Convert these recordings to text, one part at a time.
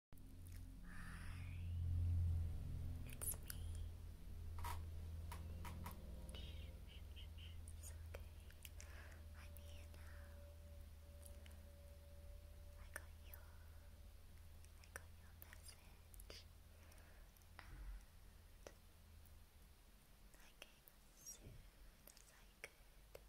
it's me. It's okay. I'm here now. I got your, I got your message, and I came as soon as I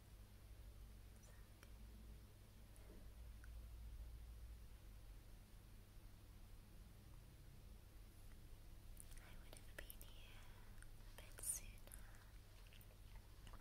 I would have been here a bit sooner if the traffic hadn't been so bad, but I mean, just you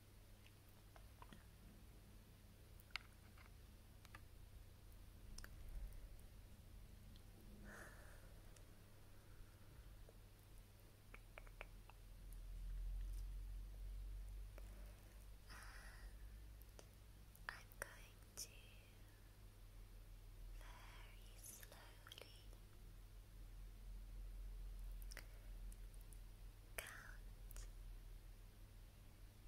And I'm going to very slowly count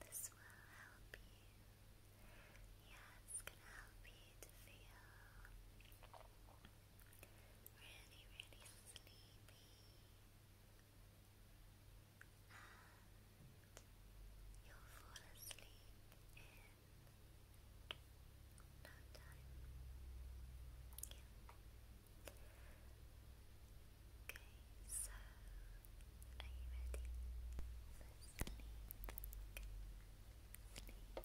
This will help you. Yeah, gonna help you to feel really, really sleepy. And you'll fall asleep in no time. Okay, so are you ready sleep? sleep. One,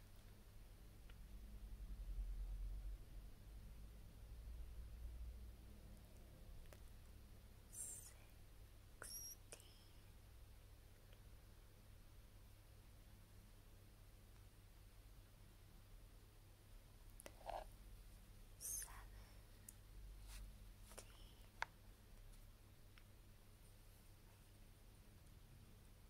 Sixteen. Seventeen.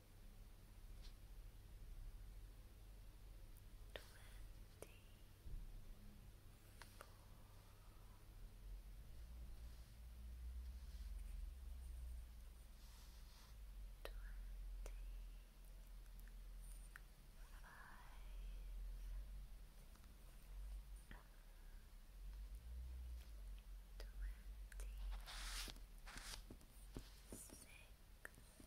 Twenty six. Twenty five.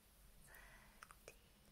Thirty-three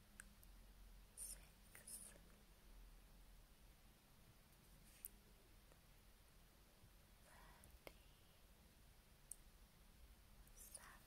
six, thirty, seven, thirty, eight. Thirty nine,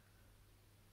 sixty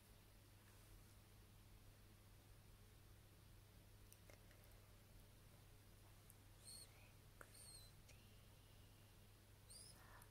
Sixty eight. Sixty nine.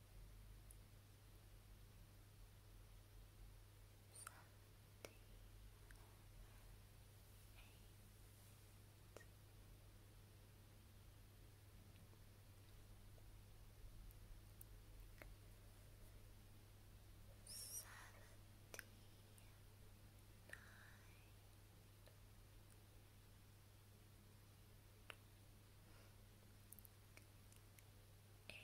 Seventy-nine Eighty one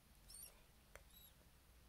six, Eighty-seven, eighty-eight. 79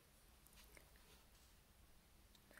Ninety two, two, two,